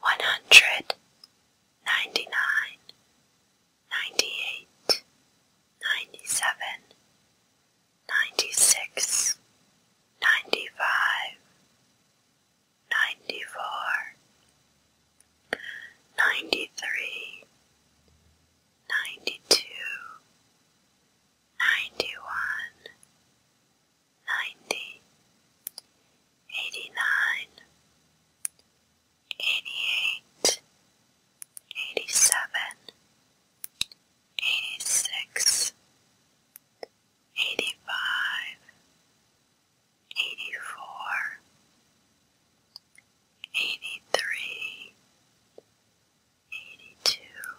one hundred ninety nine ninety eight ninety seven ninety six ninety five ninety four ninety three ninety two ninety one ninety, eighty-nine, eighty-eight, eighty-seven, eighty-six, eighty-five, eighty-four, eighty-three, eighty-two,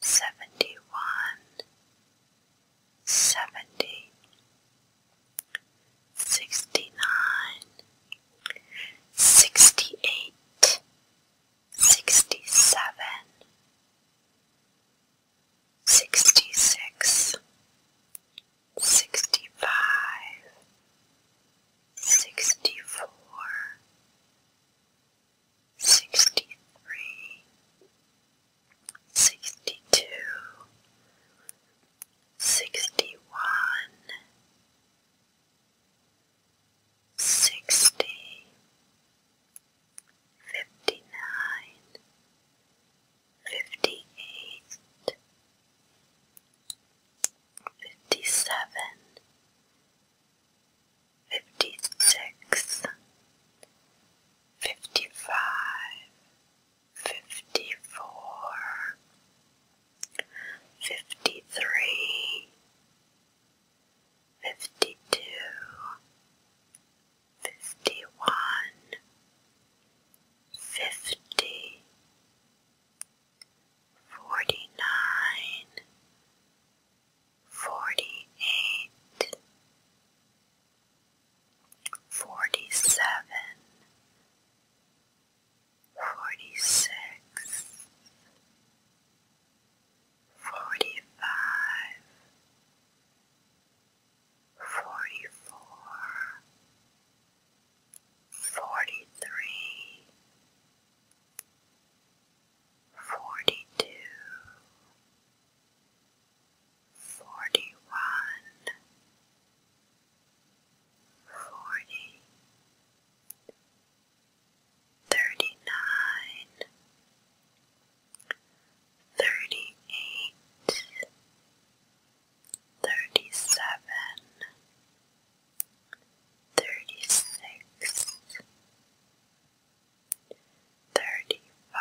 seventy one, seventy, sixty nine, sixty eight, sixty seven, sixty six, sixty five, sixty four sixty-three, sixty-two, sixty-one, sixty, fifty-nine, fifty-eight, fifty-seven, fifty six, fifty five, fifty four, fifty three, fifty two, fifty one, fifty, forty nine forty-eight, forty-seven, forty-six, forty-five, forty-four, forty-three, Forty-two, forty one, forty, thirty nine, thirty eight, thirty seven, thirty six thirty-five,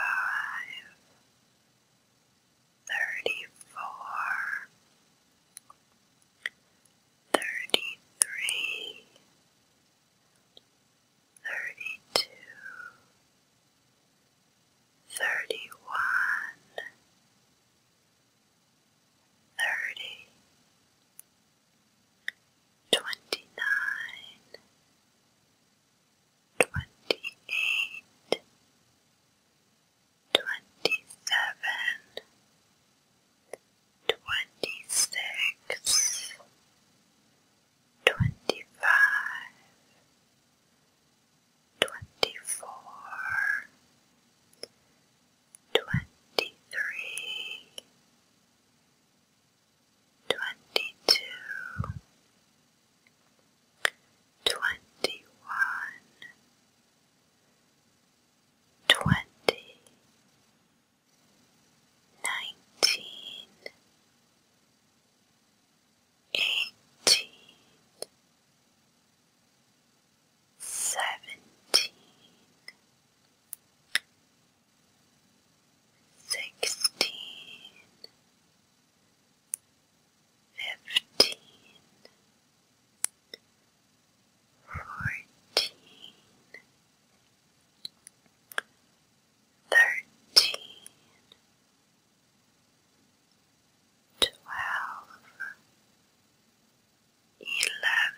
thirty-four, thirty-three, thirty-two, thirty-one, thirty twenty nine, twenty eight, twenty seven, twenty six, twenty five, twenty four, twenty three twenty-two, twenty-one, twenty, nineteen, eighteen, seventeen sixteen, fifteen, fourteen, thirteen, twelve, eleven,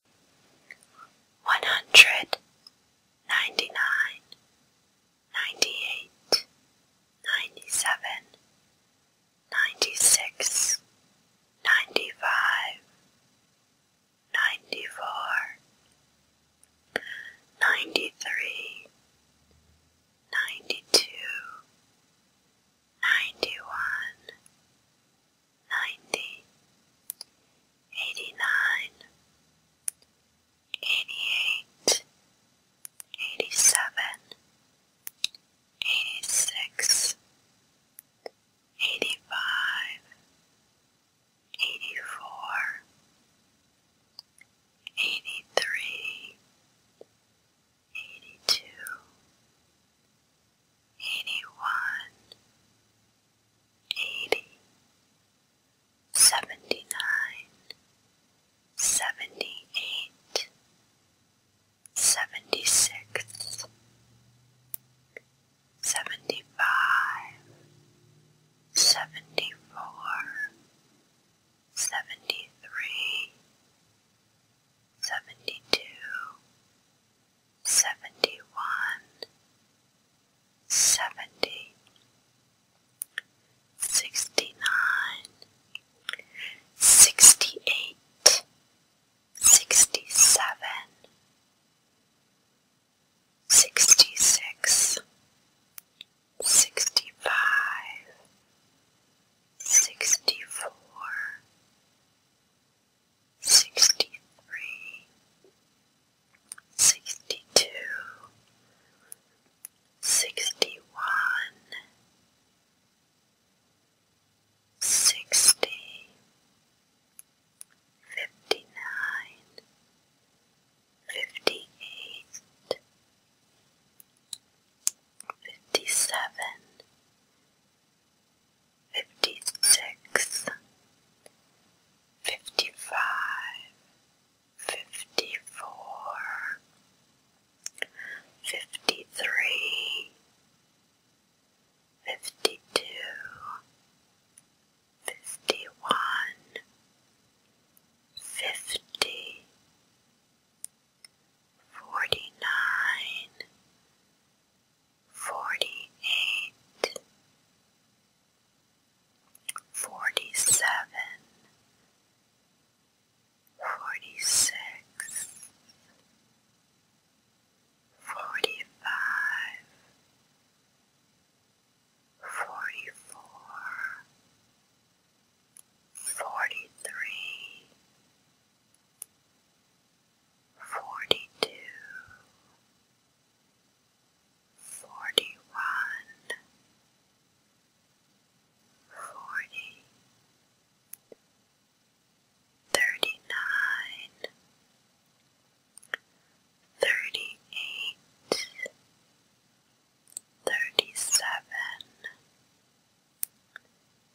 one hundred ninety nine, ninety eight, ninety seven, ninety six, ninety five, ninety four, ninety three, ninety two, ninety one ninety, eighty-nine, eighty-eight, eighty-seven, eighty-six, eighty-five, eighty-four, eighty-three, eighty-two, eighty-one, eighty, seventy nine, seventy eight, seventy six, seventy five, seventy four, seventy three, seventy two seventy one, seventy, sixty nine, sixty eight, sixty seven, sixty six, sixty five, sixty four sixty-three, sixty-two, sixty-one, sixty, fifty-nine, fifty-eight, fifty-seven, fifty six, fifty five, fifty four, fifty three, fifty two, fifty one, fifty, forty nine forty-eight, forty-seven, forty-six, forty-five, forty-four, forty-three, forty-two, forty one, forty, thirty nine, thirty eight, thirty seven,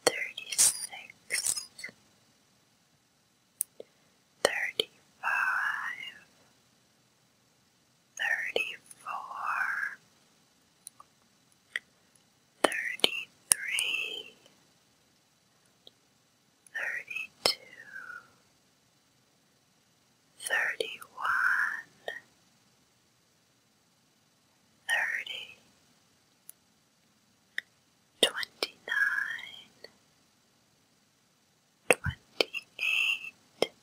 thirty six thirty-five, thirty-four, thirty-three, thirty-two, thirty-one, thirty, twenty-nine, twenty-eight,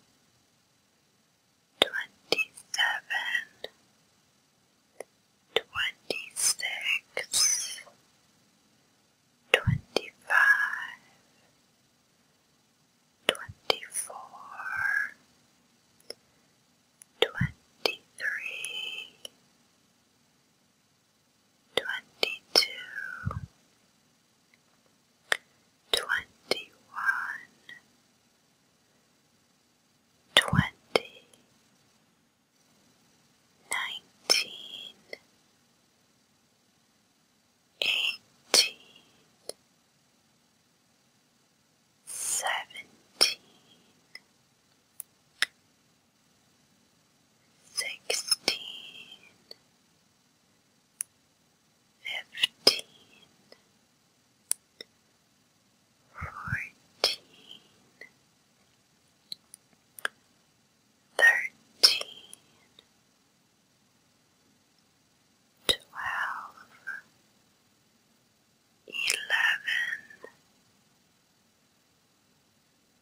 twenty-seven, twenty-six, twenty-five, twenty-four, twenty-three, twenty-two, twenty-one, twenty, nineteen, eighteen, seventeen sixteen, fifteen, fourteen, thirteen, twelve, eleven,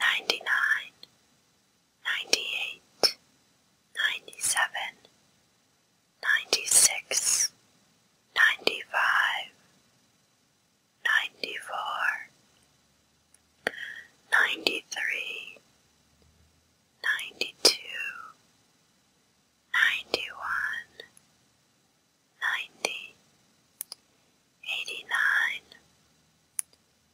ninety nine, ninety eight, ninety seven, ninety six, ninety five, ninety four, ninety three, ninety two, ninety one, ninety, eighty nine.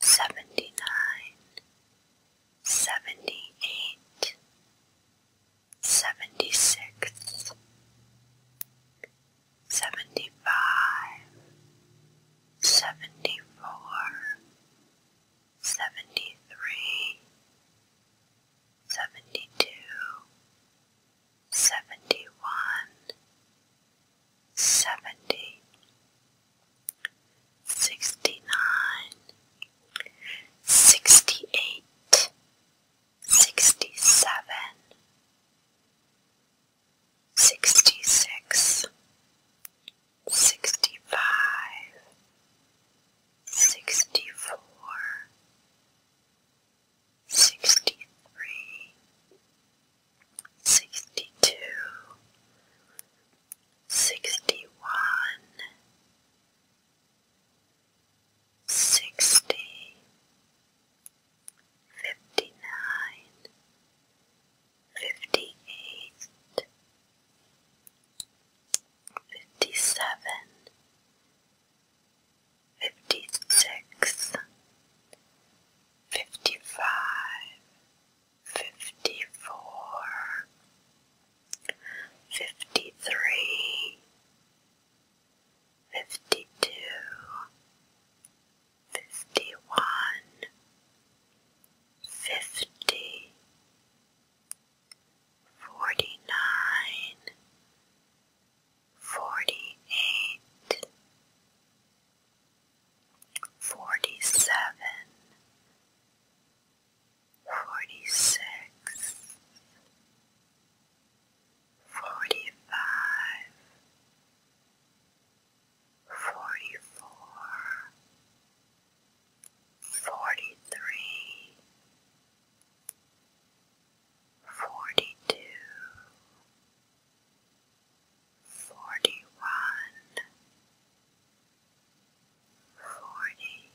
seventy-nine, seventy-eight, seventy-six, seventy-five, seventy-four, seventy-three, seventy-two, seventy-one, seventy, sixty-nine, sixty-eight, sixty-seven, sixty-six, sixty-five, sixty-four, sixty-three sixty-two, sixty-one, sixty, fifty-nine, fifty-eight, fifty-seven, fifty-six, fifty-five, fifty-four, fifty-three, fifty-two, fifty-one, fifty, forty-nine, forty-eight, forty seven, forty six, forty five, forty four, forty three, forty two. 42 forty one, forty,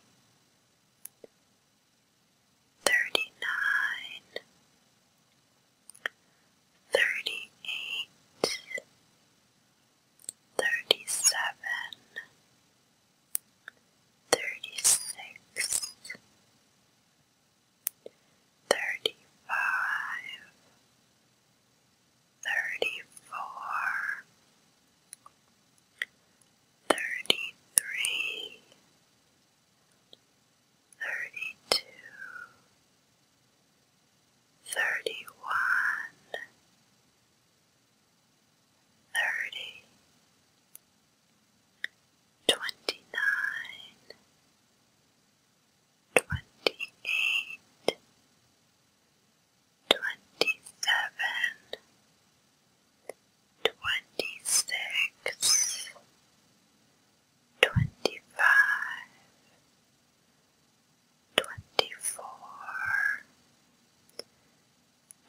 thirty nine, thirty eight, thirty seven, thirty six thirty-five, thirty-four, thirty-three, thirty-two, thirty-one, thirty, twenty-nine, twenty-eight, twenty-seven, twenty-six, twenty-five, twenty-four,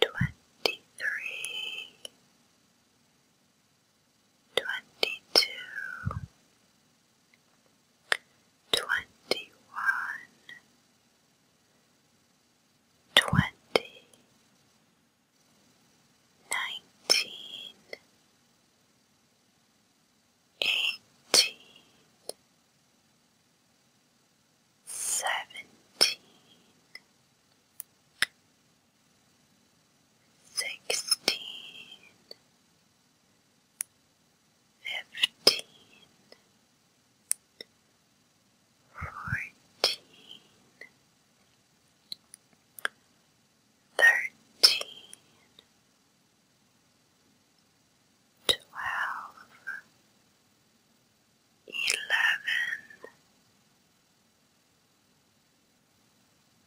twenty-three, twenty-two, twenty one, twenty, nineteen, eighteen, seventeen, sixteen fifteen, fourteen, thirteen, twelve, eleven,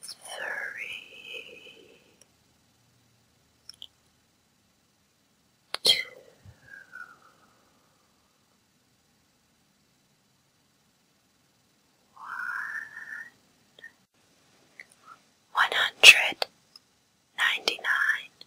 four, three, two, one, one hundred ninety nine.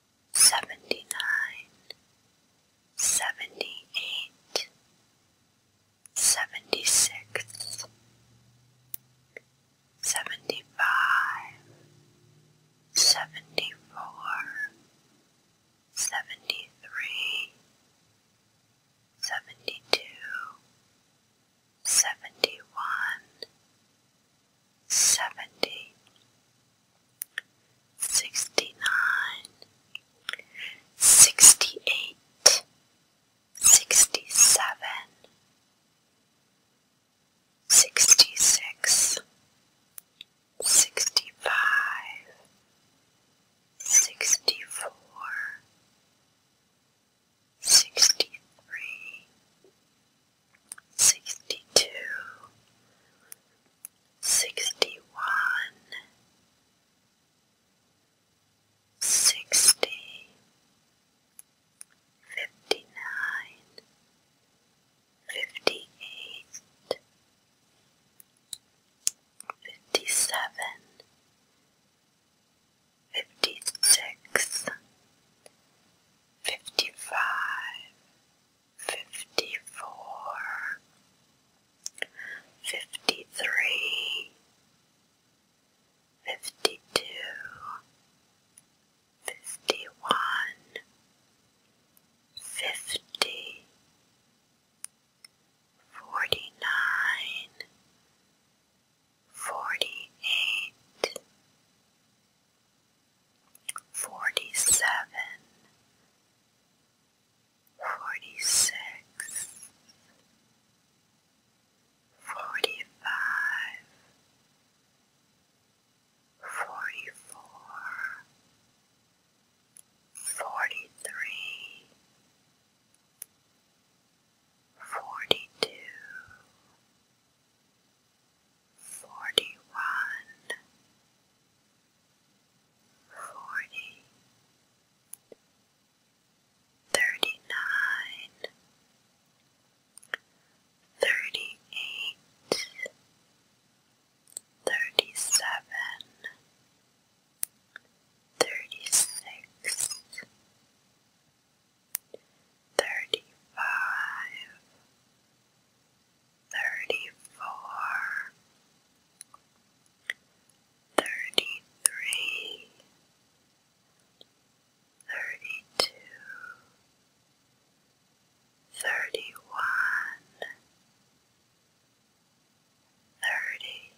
seventy nine, seventy eight, seventy six, seventy five, seventy four, seventy three, seventy two, seventy one seventy, sixty nine, sixty eight, sixty seven, sixty six, sixty five, sixty four, sixty three sixty-two, sixty-one, sixty, fifty-nine, fifty-eight, fifty-seven, fifty-six, fifty-five fifty-four, fifty-three, fifty-two, fifty-one, fifty, forty-nine, forty-eight forty seven, forty six, forty five, forty four, forty three, forty two forty one, forty, thirty nine, thirty eight, thirty seven, thirty six. Thirty five, thirty-four, thirty-three, thirty-two, thirty-one, thirty,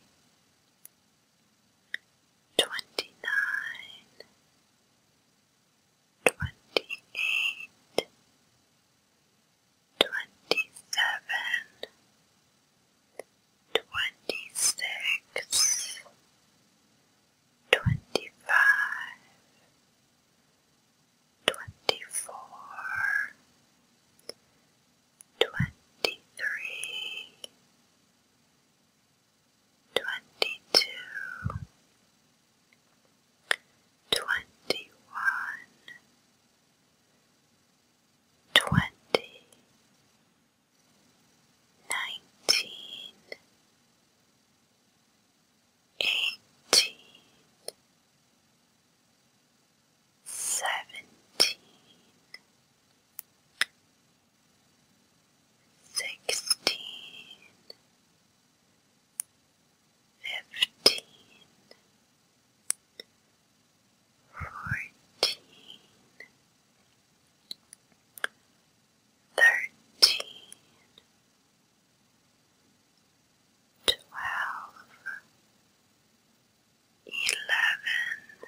twenty-nine, twenty-eight, twenty-seven, twenty-six, twenty-five, twenty-four, twenty-three, twenty-two, twenty one, twenty, nineteen, eighteen, seventeen, sixteen fifteen, fourteen, thirteen, twelve, eleven, ten,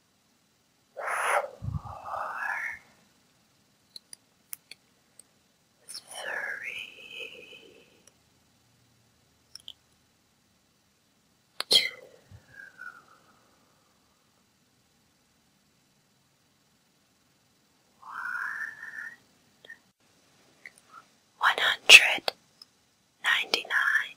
four, three, two, one, one hundred ninety nine.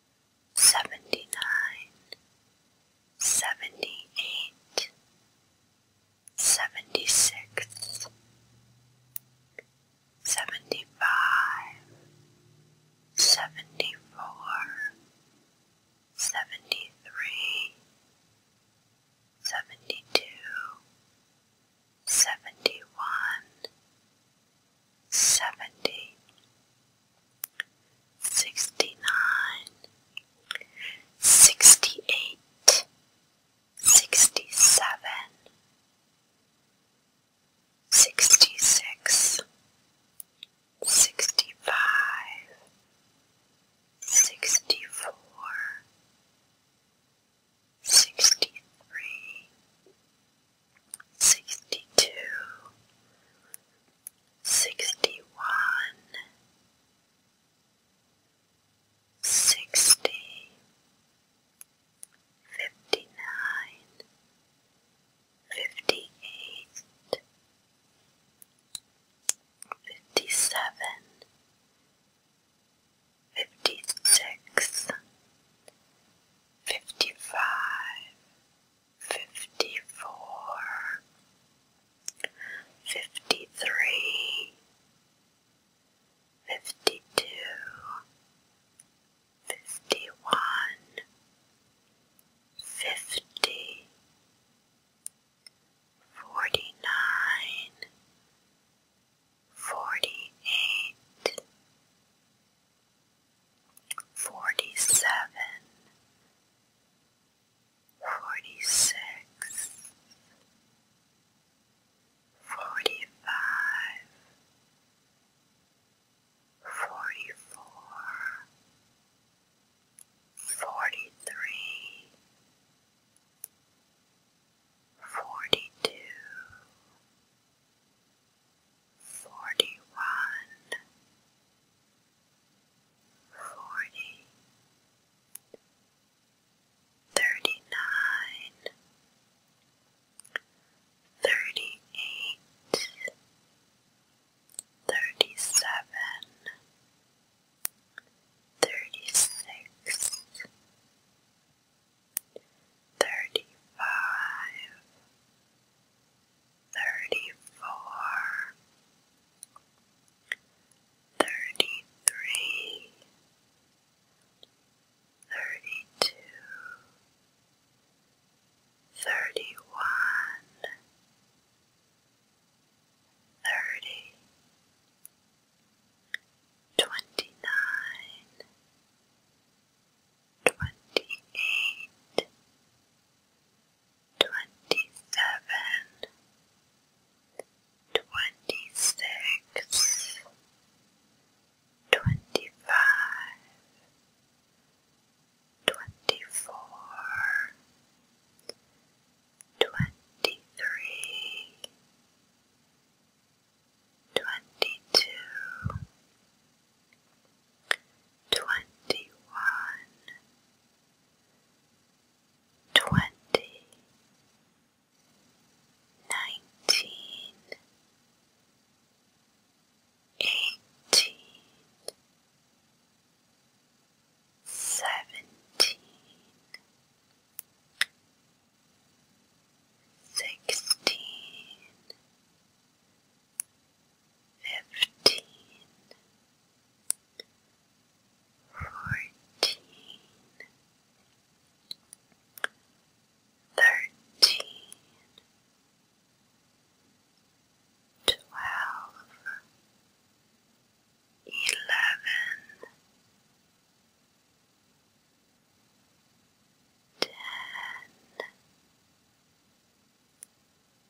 seventy nine, seventy eight, seventy six, seventy five, seventy four, seventy three, seventy two, seventy one, seventy sixty-nine, sixty-eight, sixty-seven, sixty-six, sixty-five, sixty-four, sixty-three, sixty-two, sixty one, sixty, fifty nine, fifty eight, fifty seven, fifty six, fifty five fifty-four, fifty-three, fifty-two, fifty-one, fifty, forty-nine, forty-eight, forty-seven, forty-six, forty-five, forty-four, forty-three, forty-two, forty-one, forty, thirty-nine, thirty-eight, thirty-seven, thirty-six, thirty-five, thirty-four, thirty-three, thirty-two, thirty-one, thirty, twenty-nine, Twenty-eight, twenty-seven, twenty-six, twenty-five, twenty-four, twenty-three, twenty-two, twenty one, twenty, nineteen, eighteen, seventeen, sixteen fifteen, fourteen, thirteen, twelve, eleven, ten,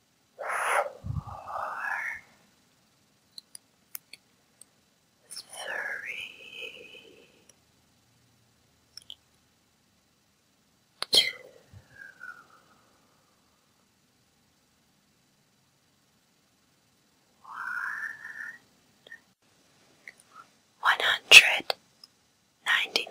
four, three, two, one, one hundred ninety nine.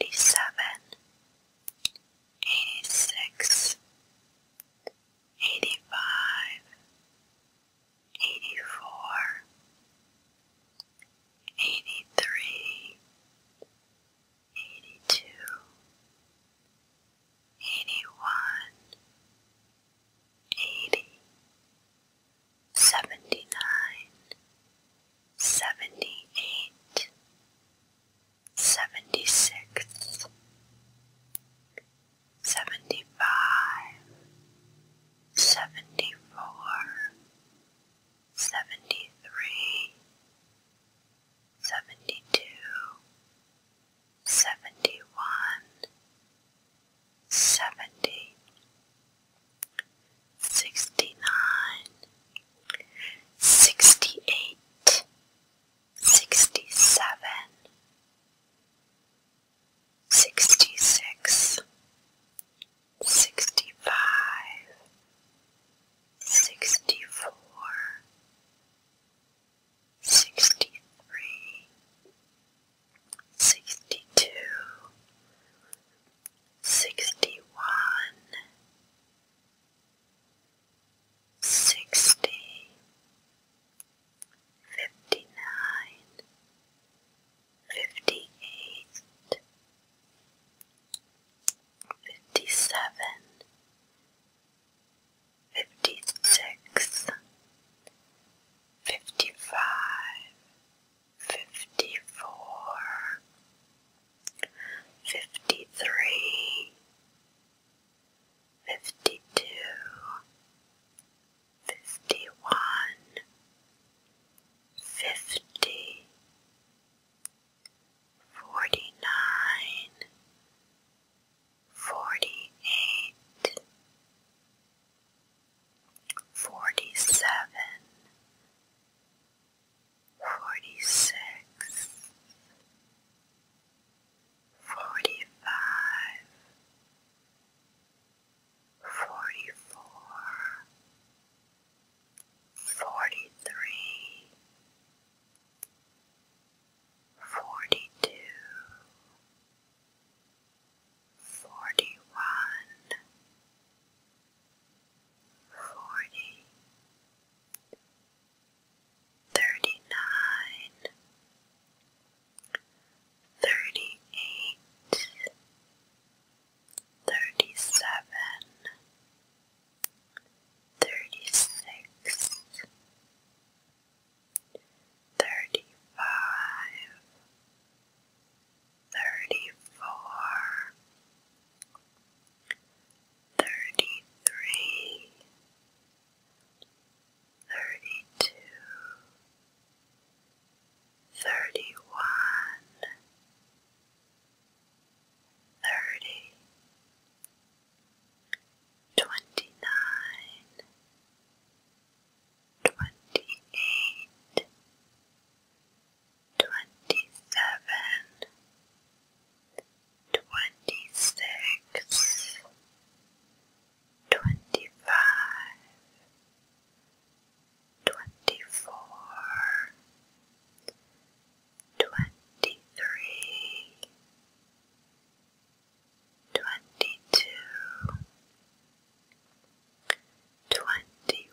eighty-seven, eighty-six, eighty-five, eighty-four, eighty-three, eighty-two, eighty-one, eighty, seventy-nine seventy eight, seventy six, seventy five, seventy four, seventy three, seventy two, seventy one, seventy sixty-nine, sixty-eight, sixty-seven, sixty-six, sixty-five, sixty-four, sixty-three, sixty-two, sixty one, sixty, fifty nine, fifty eight, fifty seven, fifty six, fifty five fifty-four, fifty-three, fifty-two, fifty-one, fifty, forty-nine, forty-eight, forty-seven forty-six, forty-five, forty-four, forty-three, forty-two, forty-one, forty, thirty-nine, thirty-eight, thirty-seven, thirty-six, thirty-five, thirty-four, thirty-three, thirty-two, thirty-one, thirty, twenty-nine, Twenty-eight, twenty-seven, twenty-six, twenty-five, twenty-four, twenty-three, twenty-two, twenty-one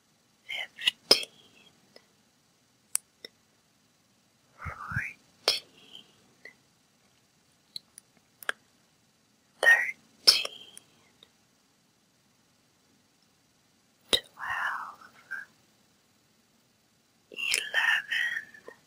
fifteen, fourteen, thirteen, twelve, eleven, ten,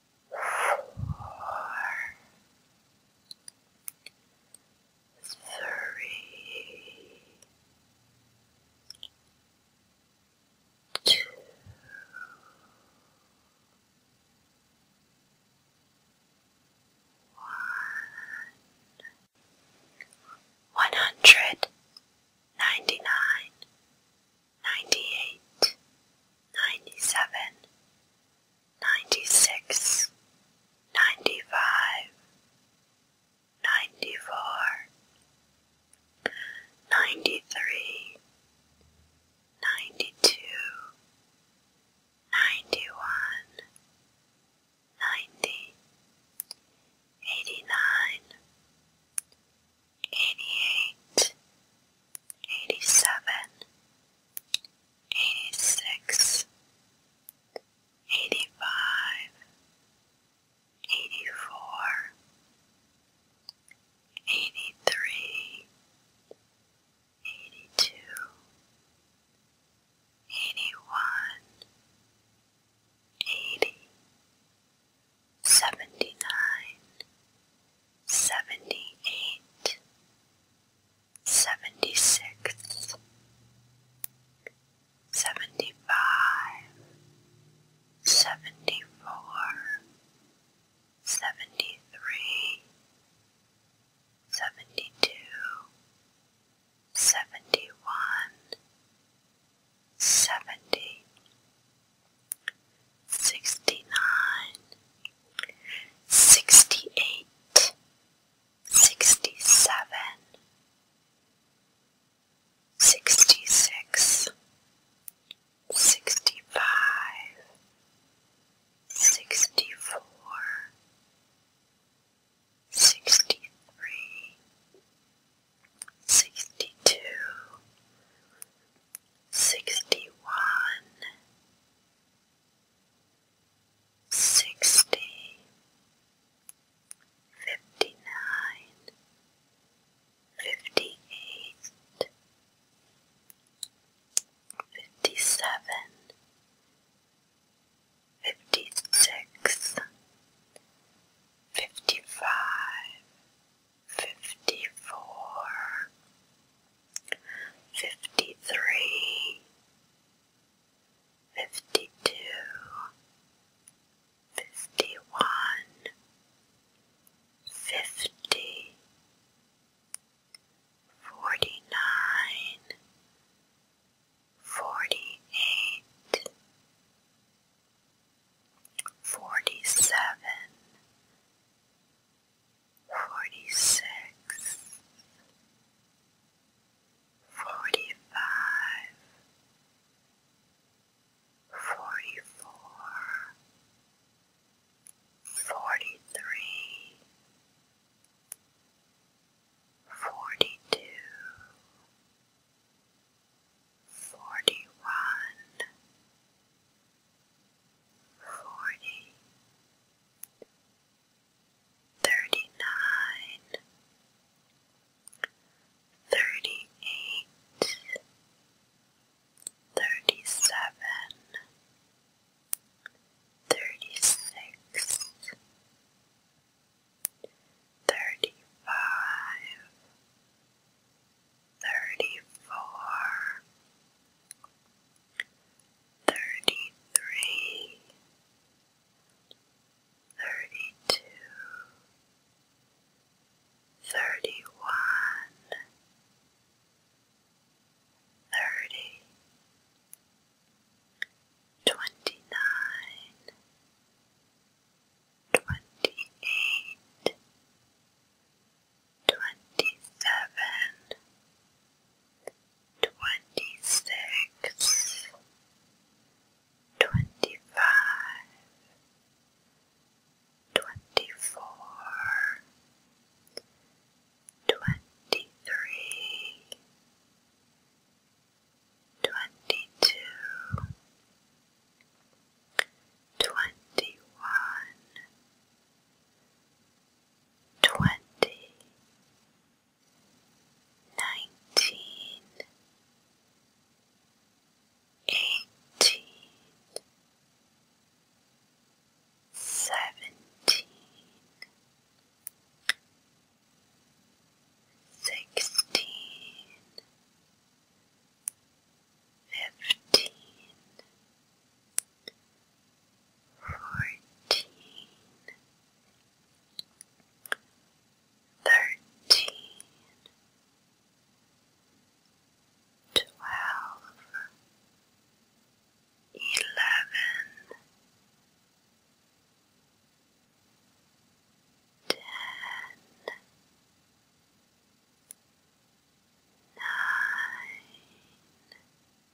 four, three, two, one, one hundred ninety nine. Ninety eight, ninety seven, ninety-six, ninety-five, ninety-four, ninety-three, ninety-two, ninety-one, ninety, eighty-nine, eighty-eight, eighty-seven, 86 85 82 81 79 78 seventy-six, seventy-five, seventy-four, seventy-three, seventy-two, seventy-one, seventy, sixty-nine, sixty-eight, sixty-seven, sixty-six, sixty-five, sixty-four, sixty-three, sixty-two, sixty-one, sixty, fifty-nine, fifty-eight, fifty-seven, fifty-six, fifty-five, fifty-four fifty three, fifty two, fifty one, fifty, forty nine, forty eight, forty seven forty six, forty five, forty four, forty three, forty two. Forty one, forty, thirty-nine, thirty-eight, thirty-seven, thirty-six, thirty-five, thirty-four, thirty three, thirty two, thirty one, thirty, twenty nine, twenty eight twenty-seven, twenty-six, twenty-five, twenty-four, twenty-three, twenty-two, twenty-one, twenty, nineteen, eighteen, seventeen, sixteen, fifteen fourteen, thirteen, twelve, eleven, ten, nine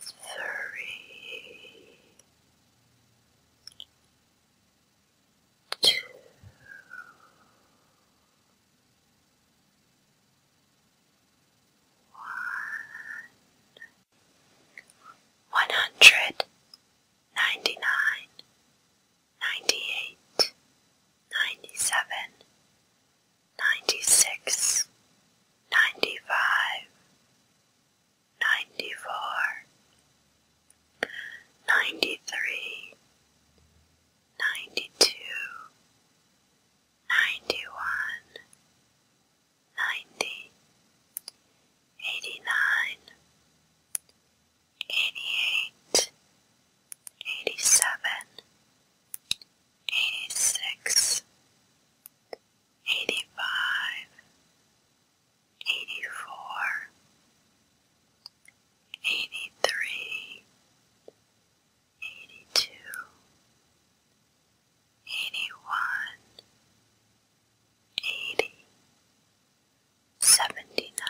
three, two, one, one hundred ninety nine, ninety eight, ninety seven, ninety-six, ninety-five, ninety-four, ninety-three, ninety-two, ninety-one, ninety, eighty-nine, eighty-eight, eighty-seven, 86 85 84 83 82 81 80 79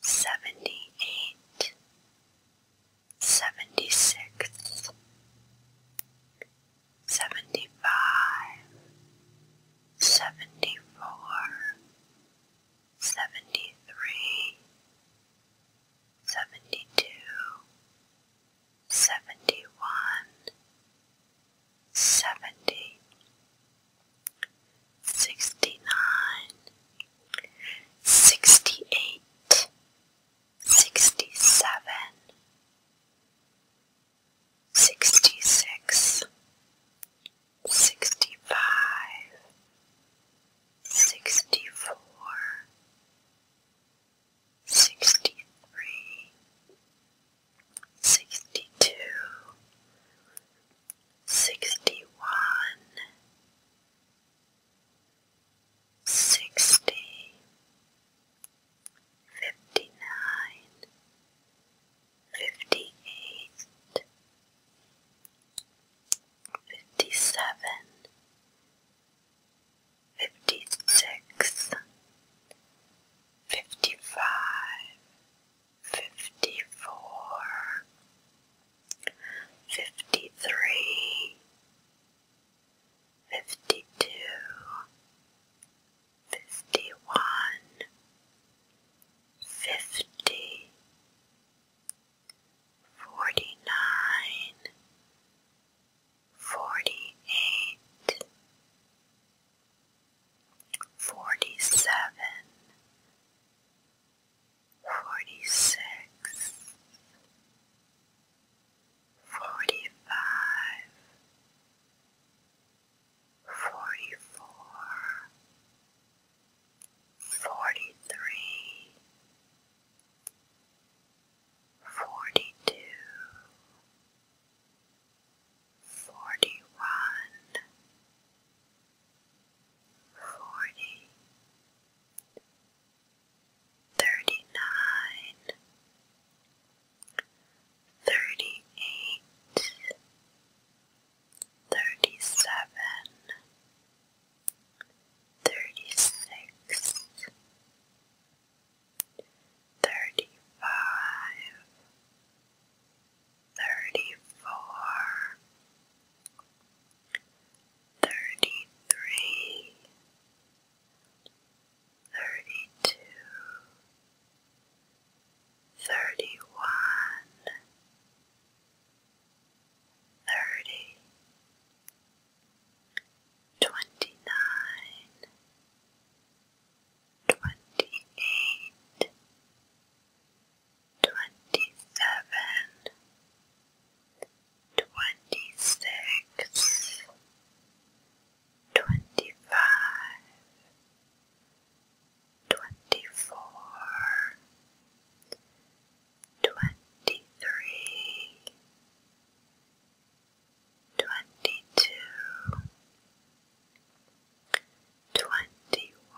78 seventy six, seventy five, seventy four, seventy three, seventy two, seventy one, seventy, sixty nine, sixty eight sixty seven, sixty six, sixty five, sixty four, sixty three, sixty two, sixty one sixty, fifty-nine, fifty-eight, fifty-seven, fifty-six, fifty-five, fifty-four fifty three, fifty two, fifty one, fifty, forty nine, forty eight, forty seven forty-six, forty-five, forty-four, forty-three, forty-two, forty-one, forty thirty nine, thirty eight, thirty seven, thirty six, thirty five, thirty four thirty-three, thirty-two, thirty-one, thirty, twenty-nine, twenty-eight, twenty-seven, twenty-six, twenty-five, twenty-four, twenty-three, twenty-two, twenty-one,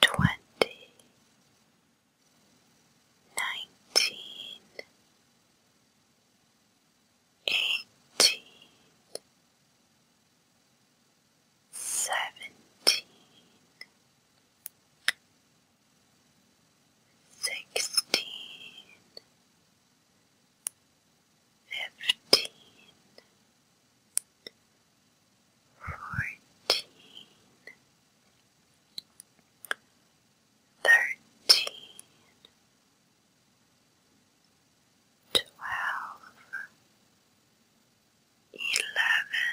twenty, nineteen, eighteen, seventeen, sixteen, fifteen fourteen, thirteen, twelve, eleven, ten, nine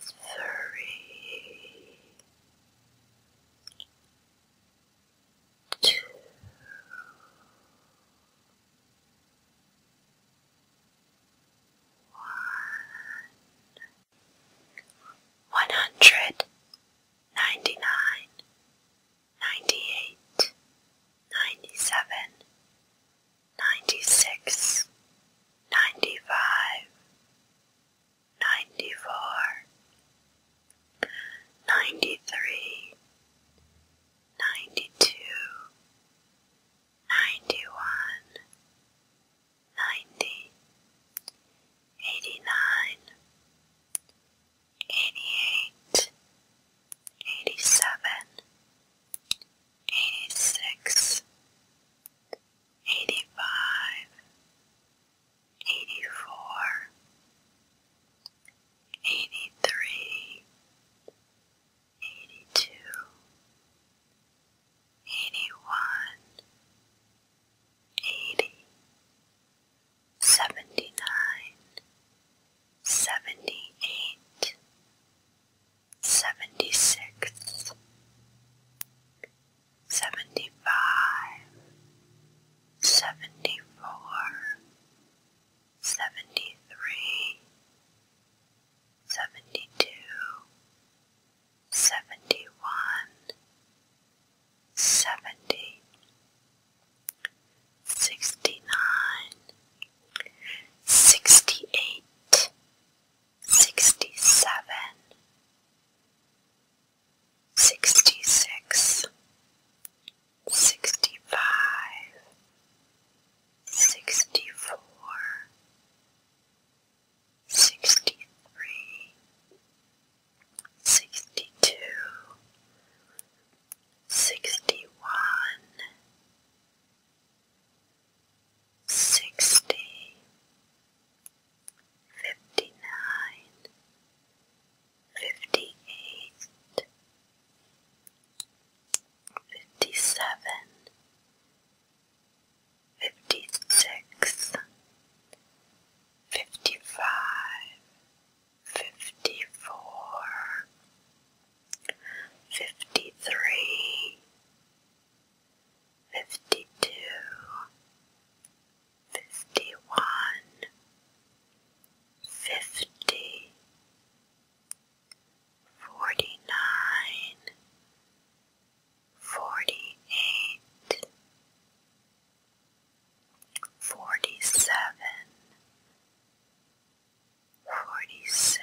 three, two, one, one hundred ninety nine, ninety eight, ninety seven ninety-six, ninety-five, ninety-four, ninety-three, ninety-two, ninety-one, ninety, eighty-nine, eighty-eight, eighty-seven, eighty-six, eighty-five, eighty-four, eighty-three, eighty-two, eighty-one, eighty, seventy-nine, seventy-eight seventy six, seventy five, seventy four, seventy three, seventy two, seventy one, seventy, sixty nine, sixty eight sixty-seven, sixty-six, sixty-five, sixty-four, sixty-three, sixty-two, sixty-one, sixty, fifty-nine, fifty-eight, fifty-seven, fifty-six, fifty-five, fifty-four, fifty-three fifty two, fifty one, fifty, forty nine, forty eight, forty seven, forty six.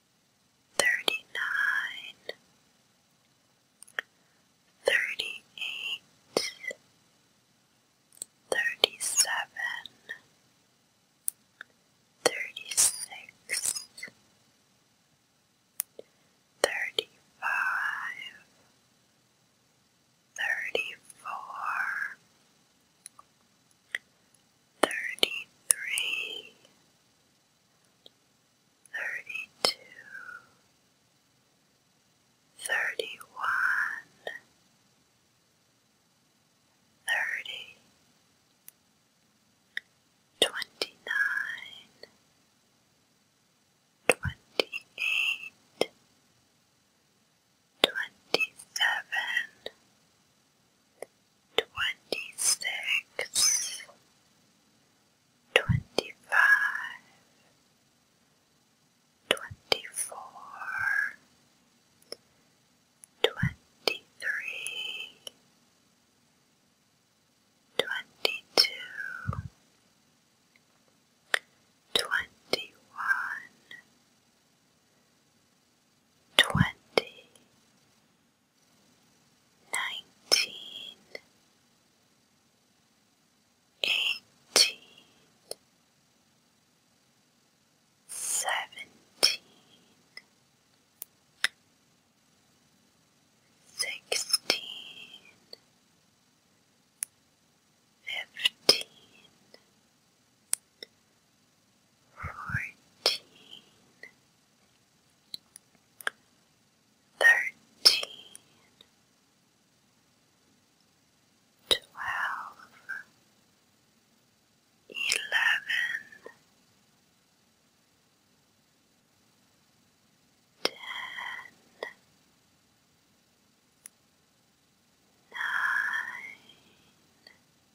thirty-nine, thirty-eight, thirty-seven, thirty-six, thirty-five, thirty-four, Thirty three, thirty-two, thirty-one, thirty, twenty-nine, twenty-eight, twenty-seven, twenty-six, twenty-five, twenty-four, twenty-three, twenty-two, twenty-one, twenty nineteen, eighteen, seventeen, sixteen, fifteen fourteen, thirteen, twelve, eleven, ten, nine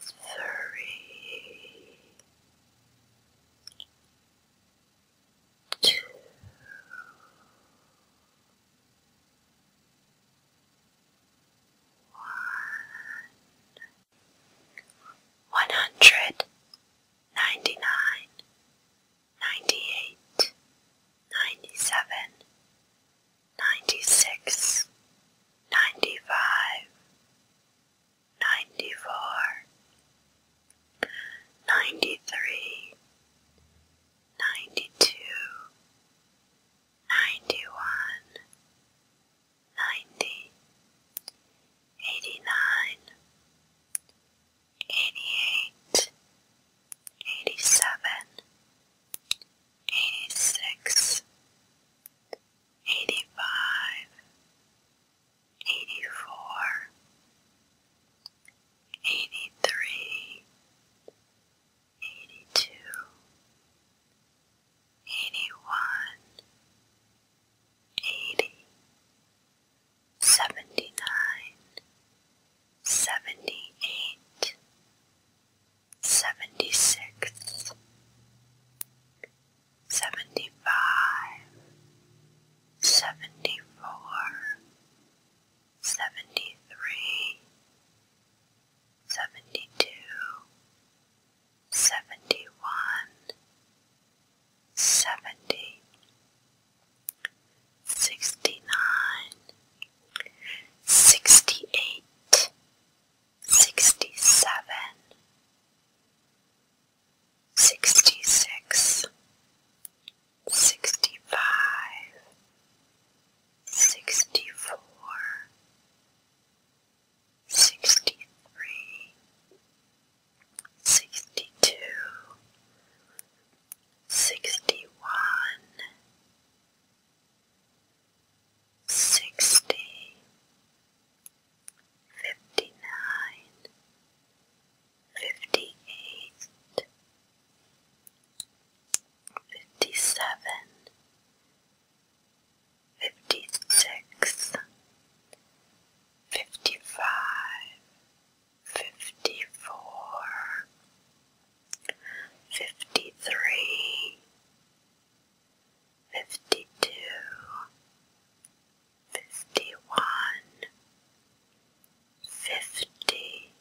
three, two, one, one hundred ninety nine, ninety eight, ninety seven, ninety six, ninety five ninety-four, ninety-three, ninety-two, ninety-one, ninety, eighty-nine, eighty-eight, eighty-seven, eighty-six, eighty-five, eighty-four, eighty-three, eighty-two, eighty-one, eighty, seventy-nine, seventy-eight, seventy-six, seventy-five, seventy-four, seventy-three, seventy-two, seventy-one, seventy, sixty-nine, sixty-eight, sixty-seven, sixty-six, sixty-five, sixty-four, sixty-three, sixty-two, sixty-one, sixty, fifty-nine, fifty-eight, fifty-seven, fifty-six, fifty-five, fifty-four, fifty-three fifty two, fifty one, fifty,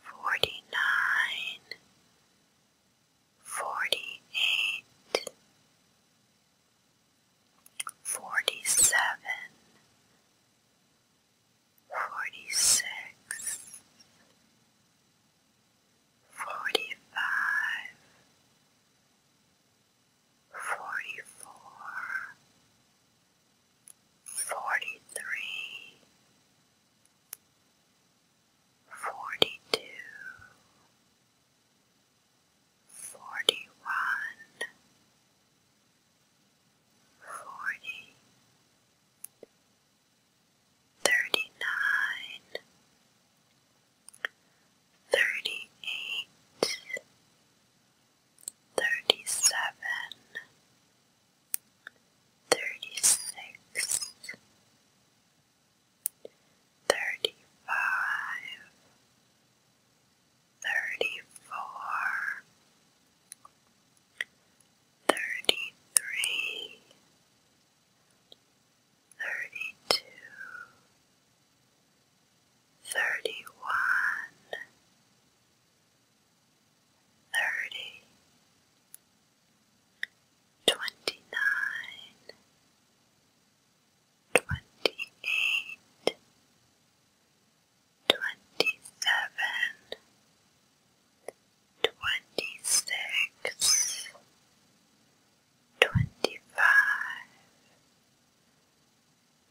forty nine, forty eight, forty seven, forty six forty-five, forty-four, forty-three, forty-two, forty-one, forty, thirty-nine, thirty-eight, thirty-seven, thirty-six, thirty-five, thirty-four, Thirty-three, thirty-two, thirty-one, thirty, twenty-nine, twenty-eight, twenty-seven, Twenty six, twenty-five,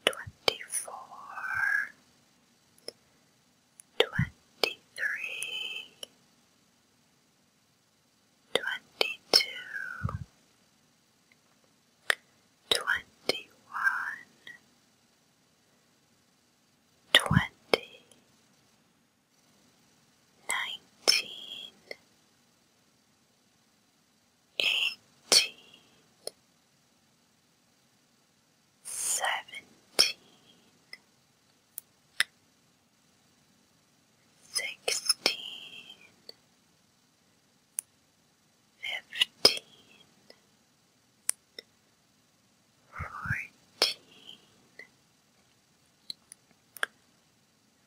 twenty-four, twenty-three, twenty-two, twenty-one, twenty nineteen, eighteen, seventeen, sixteen, fifteen, fourteen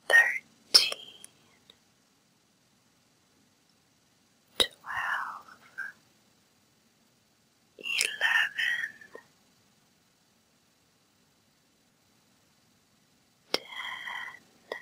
thirteen, twelve, eleven, ten, nine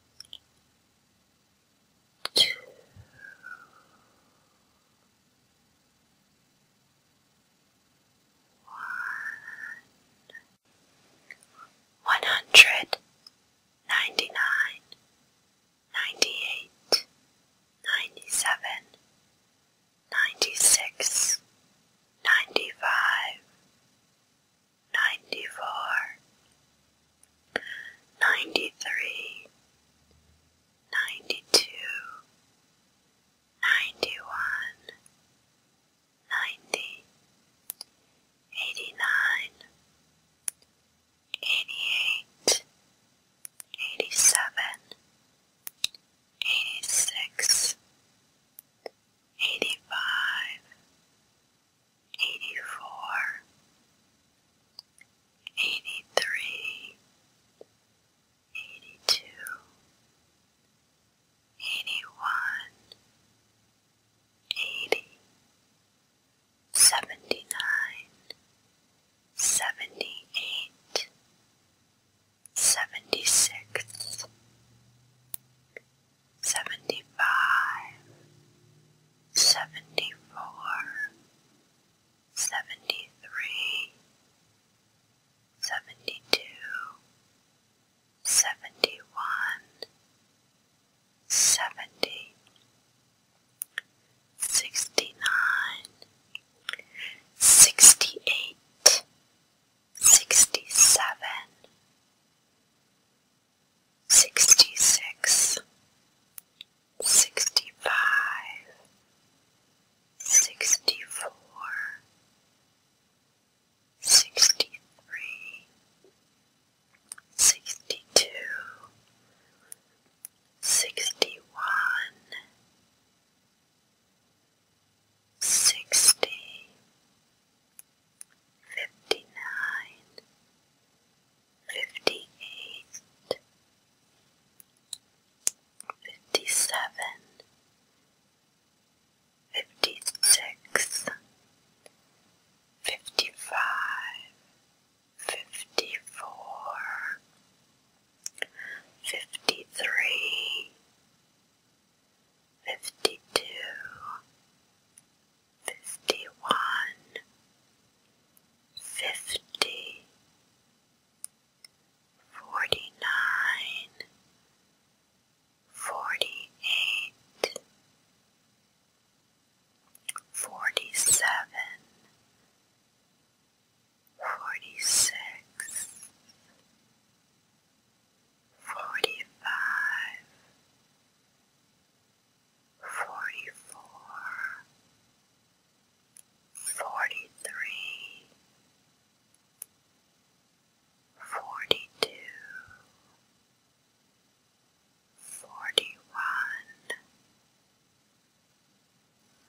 two, one, one hundred ninety nine, ninety eight, ninety seven, ninety six, ninety five ninety-four, ninety-three, ninety-two, ninety-one, ninety, eighty-nine, eighty-eight, eighty-seven, eighty-six, eighty-five, eighty-four, eighty-three, eighty-two, eighty-one, eighty, seventy-nine, seventy-eight, seventy-six, seventy-five, seventy-four, seventy-three, seventy-two, seventy-one, seventy, sixty-nine, sixty-eight, sixty-seven, sixty-six, sixty-five, sixty-four, sixty-three, sixty-two, sixty-one, sixty. Fifty nine, fifty eight, fifty seven, fifty six, fifty five, fifty four, fifty three, fifty two fifty one, fifty, forty nine, forty eight, forty seven, forty six forty-five, forty-four, forty-three, forty-two, forty-one,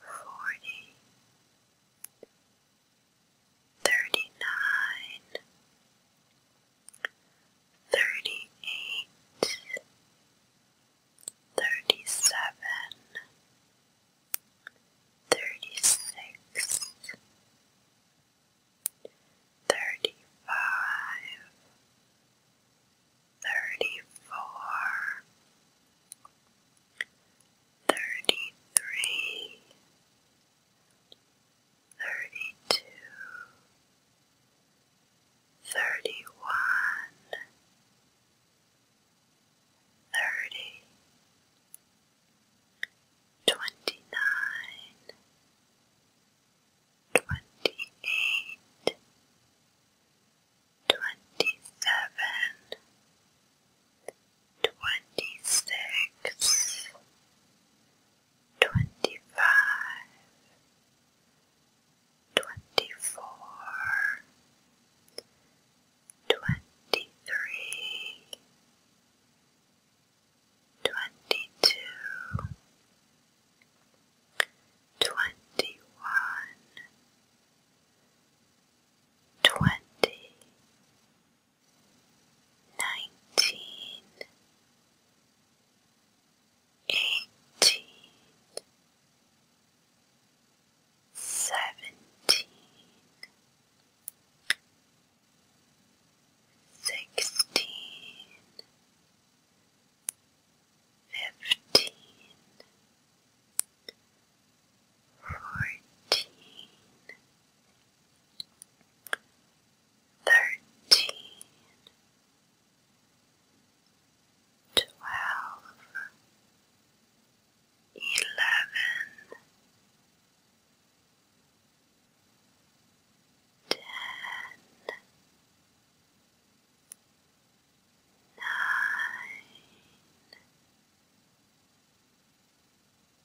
forty. Thirty nine, thirty-eight, thirty-seven, thirty-six, thirty-five, thirty-four, thirty-three, thirty-two, thirty-one, thirty, twenty-nine, twenty-eight, twenty-seven, Twenty six, twenty-five, twenty-four, twenty-three, twenty-two, twenty-one, twenty nineteen, eighteen, seventeen, sixteen, fifteen, fourteen thirteen, twelve, eleven, ten, nine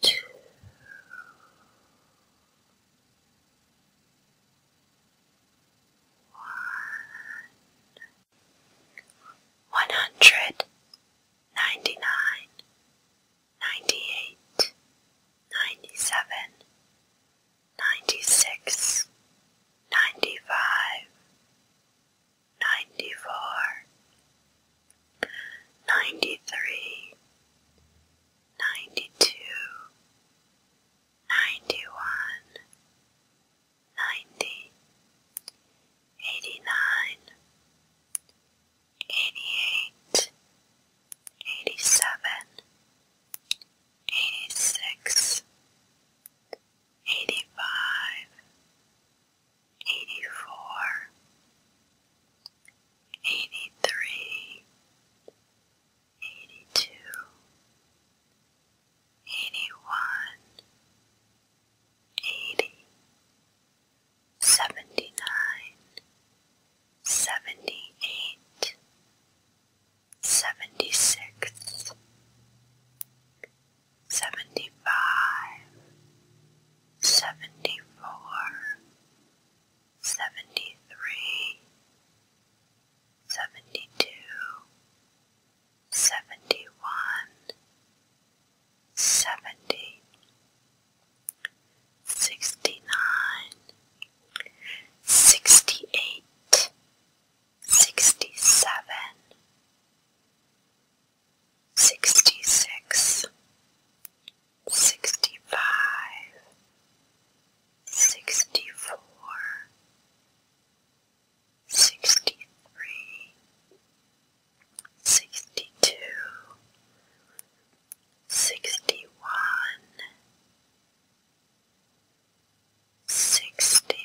two, one, one hundred ninety nine, ninety eight, ninety seven, ninety six, ninety five ninety-four, ninety-three, ninety-two, ninety-one, ninety, eighty-nine, eighty-eight, eighty-seven, eighty-six, eighty-five, 84 83 82 81 80 79 78 76 seventy-five, seventy-four, seventy-three, seventy-two, seventy-one, seventy, sixty-nine, sixty-eight, sixty-seven, sixty-six, sixty-five, sixty-four, sixty-three, sixty-two, sixty-one, sixty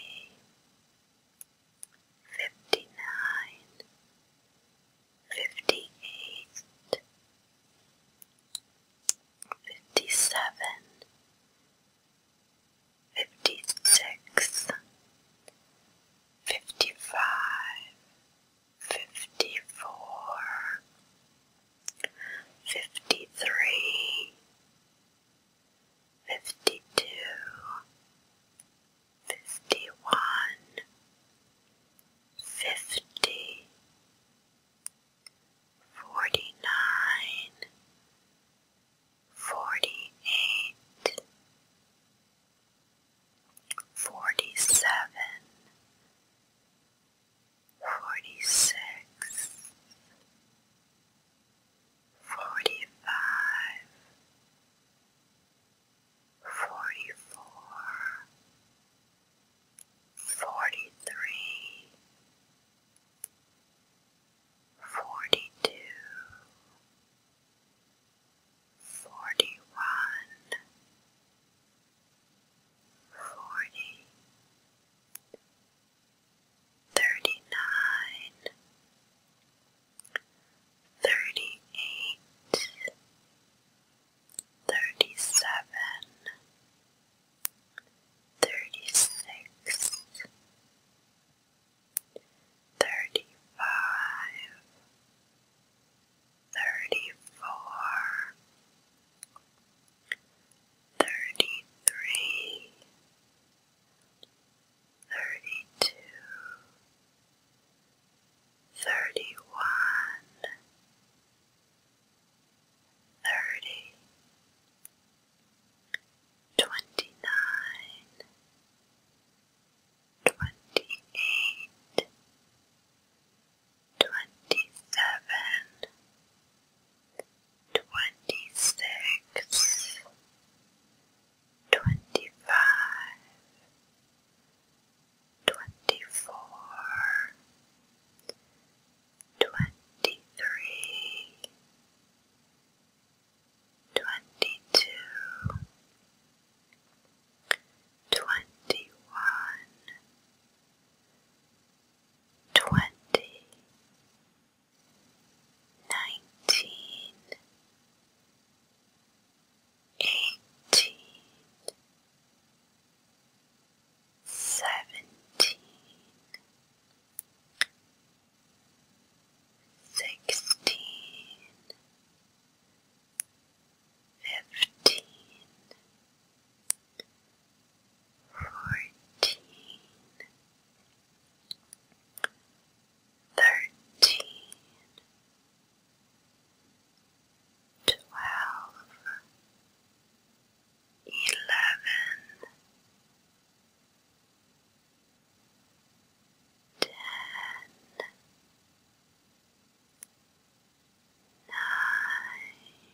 fifty nine, fifty eight, fifty seven, fifty six, fifty five, fifty four, fifty three. Fifty two, fifty one, fifty, forty nine, forty eight, forty seven, forty six, forty five forty four, forty three, forty two, forty one, forty, thirty nine thirty-eight, thirty-seven, thirty-six, thirty-five, thirty-four, thirty-three, thirty-two, thirty one, thirty, twenty nine, twenty eight, twenty seven, twenty six twenty-five, twenty-four, twenty-three, twenty-two, twenty-one, twenty, nineteen eighteen, seventeen, sixteen, fifteen, fourteen, thirteen twelve, eleven, ten, nine, eight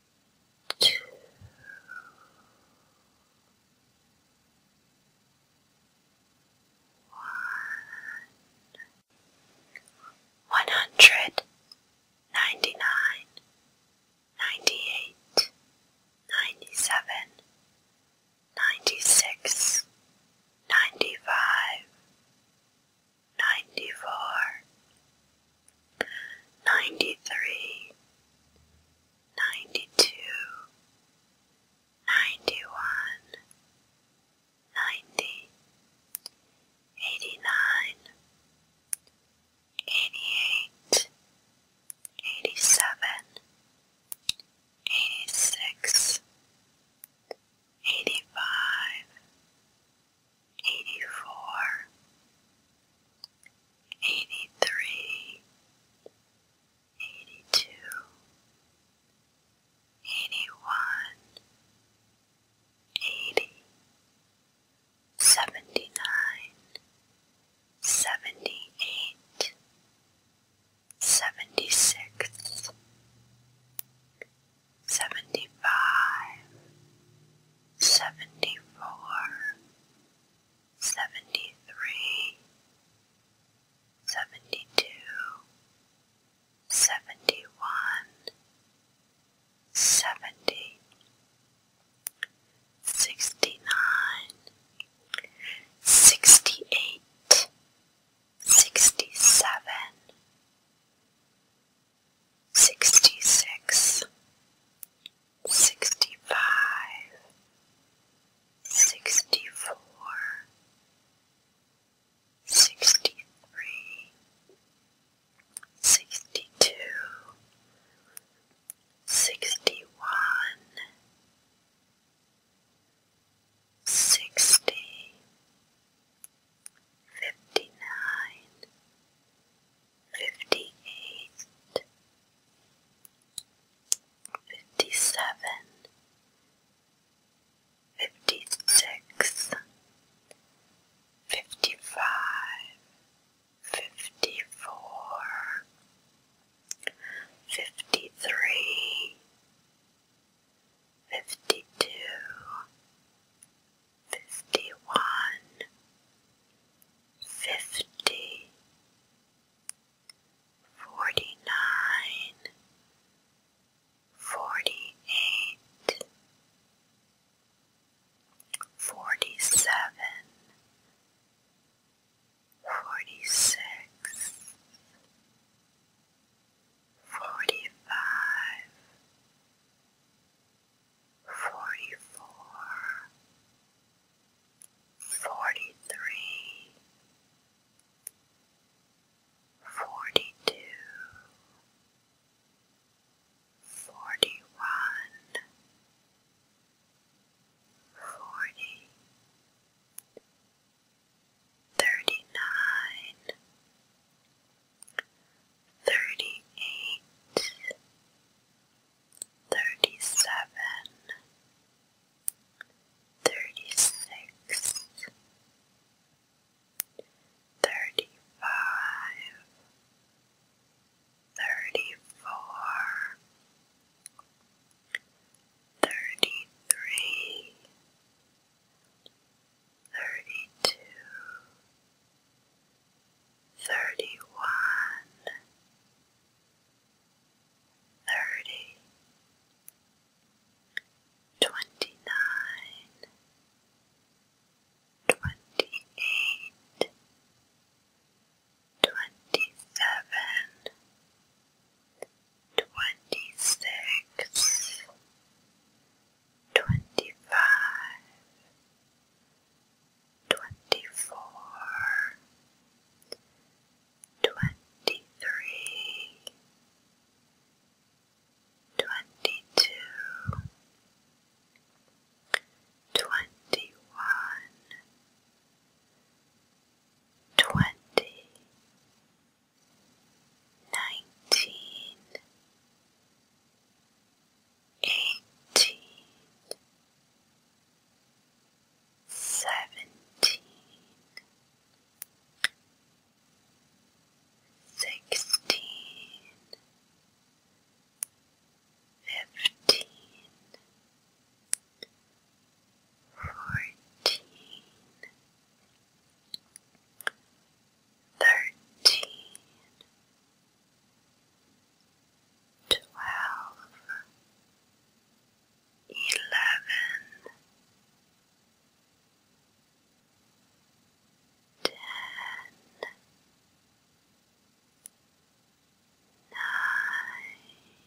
two, one, one hundred ninety nine, ninety eight, ninety seven, ninety six, ninety five, ninety four ninety-three, ninety-two, ninety-one, ninety, eighty-nine, eighty-eight, eighty-seven, eighty-six, eighty-five, eighty-four, eighty-three, eighty-two, eighty-one, eighty, seventy-nine, seventy-eight, seventy-six, seventy-five seventy-four, seventy-three, seventy-two, seventy-one, seventy, sixty-nine, sixty-eight, sixty-seven, sixty-six, sixty-five, sixty-four, sixty-three, sixty-two, sixty-one, sixty, fifty-nine fifty-eight, fifty-seven, fifty-six, fifty-five, fifty-four, fifty-three, fifty-two, fifty-one, fifty, forty-nine, forty-eight, forty-seven, forty-six, forty-five, forty-four, forty-three, forty-two, forty-one, forty, thirty-nine, thirty-eight, thirty-seven, thirty-six, thirty-five, thirty-four, thirty-three, thirty-two, thirty one, thirty, twenty nine, twenty eight, twenty seven, twenty six, twenty five twenty-four, twenty-three, twenty-two, twenty-one, twenty, nineteen eighteen, seventeen, sixteen, fifteen, fourteen, thirteen twelve, eleven, ten, nine, eight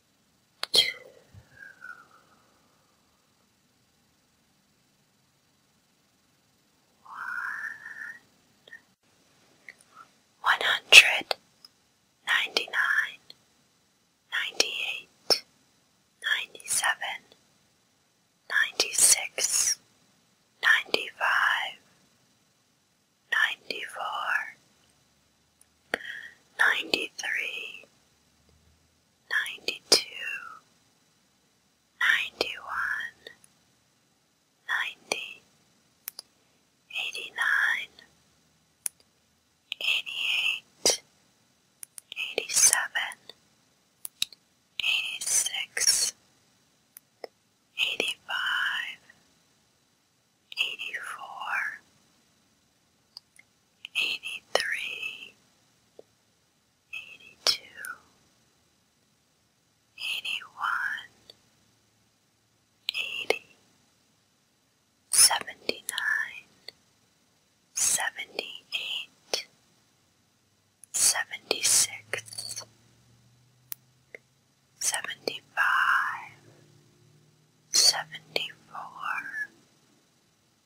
two, one, one hundred ninety nine, ninety eight, ninety seven, ninety six, ninety five, ninety four ninety-three, ninety-two, ninety-one, ninety, eighty-nine, eighty-eight, eighty-seven, eighty-six, eighty-five, eighty-four, eighty-three, eighty-two, eighty-one, eighty, seventy-nine, seventy-eight, seventy-six, seventy-five, seventy-four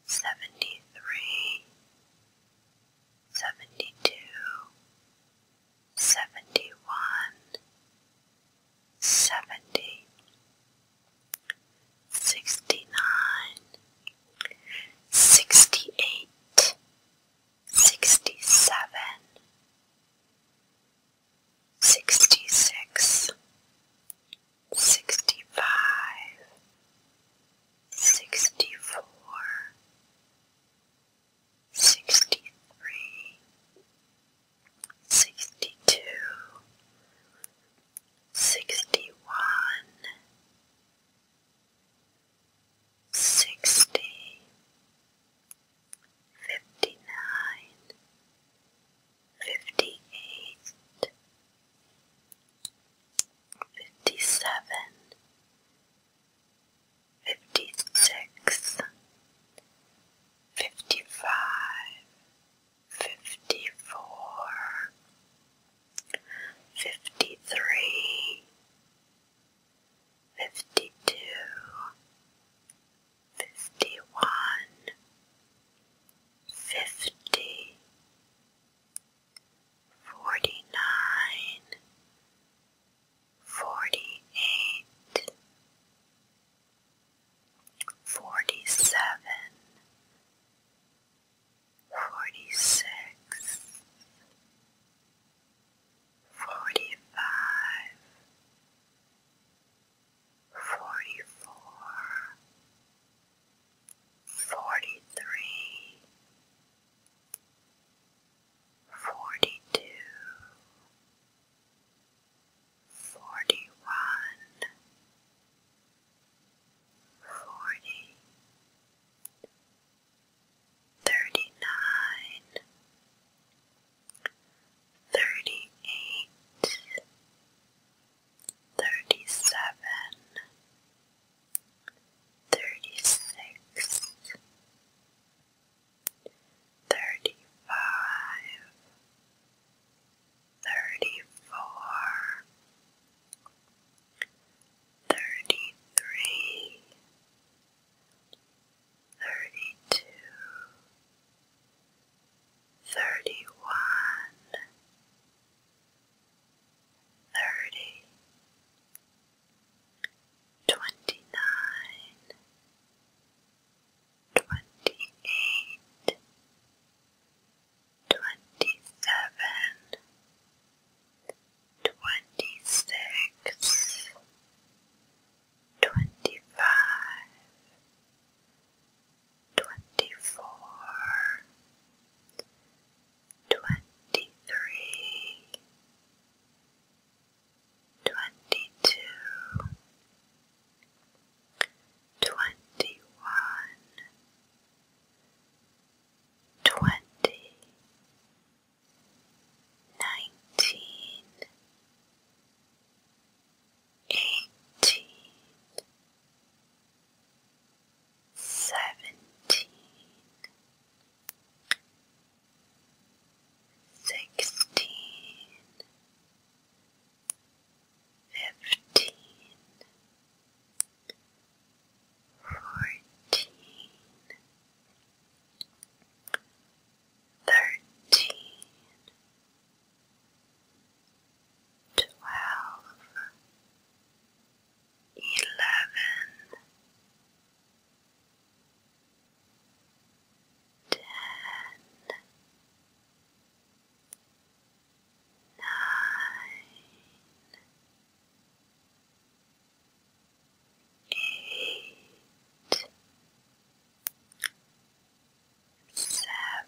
seventy three, seventy two, seventy one, seventy, sixty nine, sixty eight, sixty seven, sixty six sixty-five, sixty-four, sixty-three, sixty-two, sixty-one, sixty, fifty-nine fifty-eight, fifty-seven, fifty-six, fifty-five, fifty-four, fifty-three, fifty-two, fifty-one, fifty, forty nine, forty eight, forty seven, forty six, forty five forty four, forty three, forty two, forty one, forty, thirty nine. Thirty eight, thirty-seven, thirty-six, thirty-five, thirty-four, thirty-three, thirty-two, thirty one, thirty, twenty nine, twenty eight, twenty seven, twenty six, twenty five twenty-four, twenty-three, twenty-two, twenty-one, twenty, nineteen, eighteen, seventeen, sixteen, fifteen, fourteen, thirteen twelve, eleven, ten, nine, eight, Seven,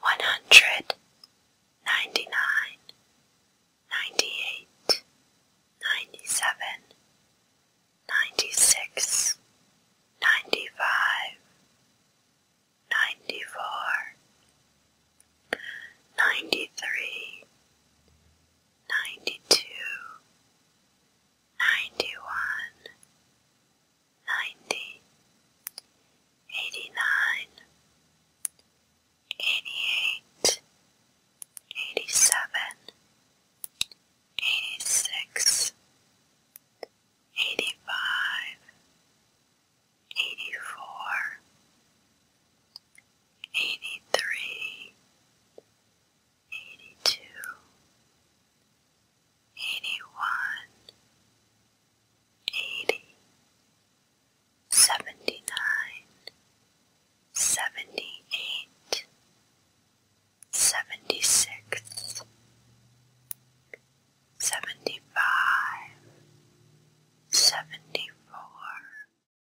one hundred ninety nine, ninety eight, ninety seven, ninety six, ninety five, ninety four, ninety three, ninety-two, ninety-one, ninety, eighty-nine, eighty-eight, eighty-seven, eighty-six, eighty-five, eighty-four, eighty-three, eighty-two, eighty-one, eighty, seventy-nine, seventy-eight, seventy-six, seventy-five, seventy-four.